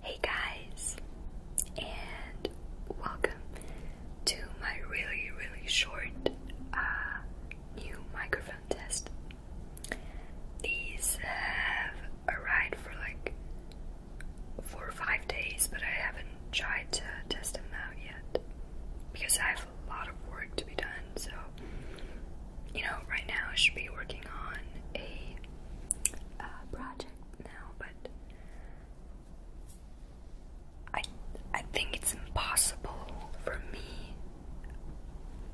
Hey guys, and welcome to my really, really short uh, new microphone contest. These have arrived for like four or five days, but I haven't tried to test them out yet because I have a lot of work to be done. So, you know, right now I should be working on a uh, project now, but I I think it's impossible for me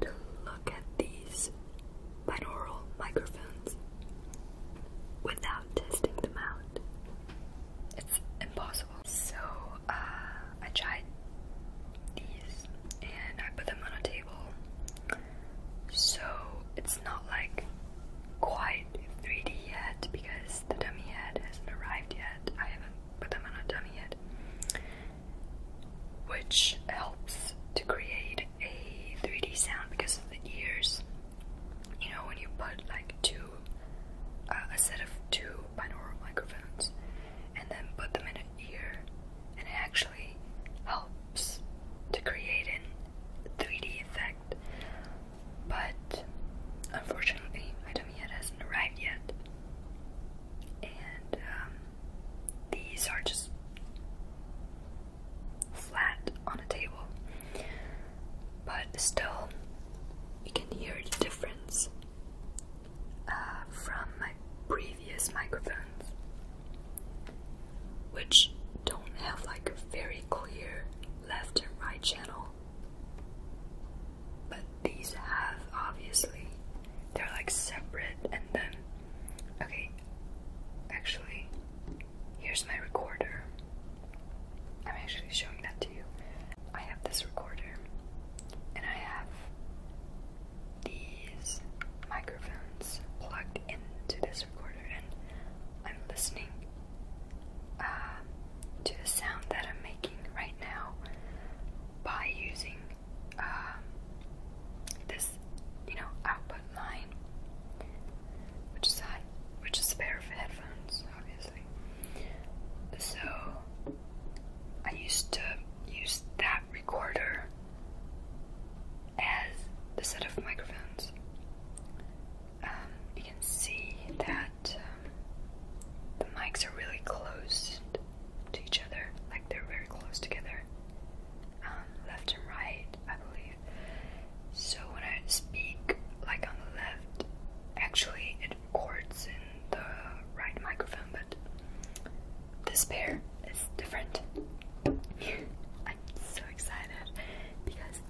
to look at these binaural microphones without testing them out. It's impossible. So uh, I tried these and I put them on a table. So it's not like quite 3D yet because the dummy head hasn't arrived yet. I haven't put them on a dummy yet, which helps to create a 3D sound because of the ears. You know, when you put like two, uh, a set of two binaural microphones, and then put them in an ear, and it actually helps to create an 3D effect. But unfortunately, my tummy head hasn't arrived yet. And um, these are just flat on a table. But still, you can hear the difference uh, from my previous microphones, which don't have like very clear left and right channel. But these have obviously they're like separate and then okay actually here's my recorder. I'm actually showing that to you. I have this recorder and I have these microphones plugged plugged into this recorder and I'm listening uh, to the sound that I'm making right now by using um, this, you know, output line, which is on, uh, which is a pair of headphones, obviously. So I used to use that recorder as the set of microphones. Um, you can see that um, the mics are really close to each other, like they're very close together, um, left and right, I believe. So when I speak, like on the left, actually it records in the right microphone, but this pair is different. I'm so excited because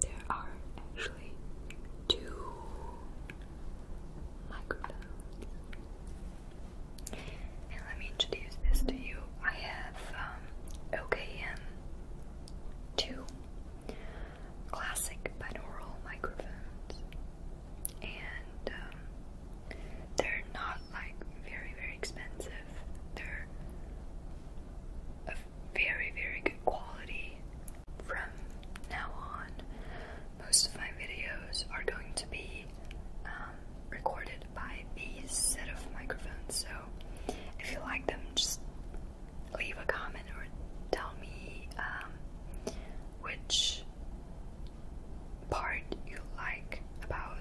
there are actually two microphones. And let me introduce this to you. I have OKM um, 2 classic binaural microphones and um, they're not like very very expensive. They're of very very good quality. From now on, most of my videos are going to be um, recorded by these set of microphones. So if you like them, just leave a comment or tell me um, which part you like about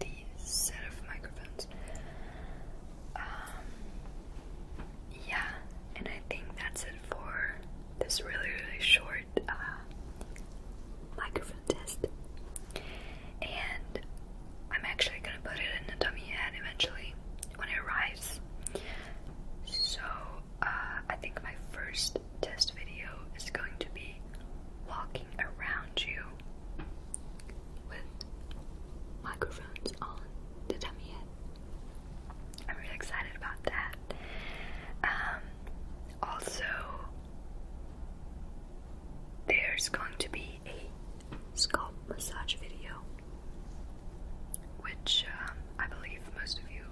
the set of microphones. Um, yeah, and I think that's it for this really, really short uh, microphone test. And I'm actually gonna put it in a dummy head eventually when it arrives. So uh, I think my first test video is going to be walking around you with microphones on the dummy I'm really excited about that. Um, also, there's going to be a scalp massage video which um, I believe most of you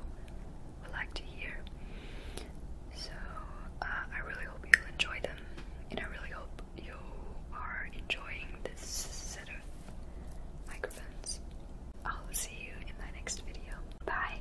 would like to hear. So uh, I really hope you'll enjoy them, and I really hope you are enjoying this set of microphones. I'll see you in my next video. Bye!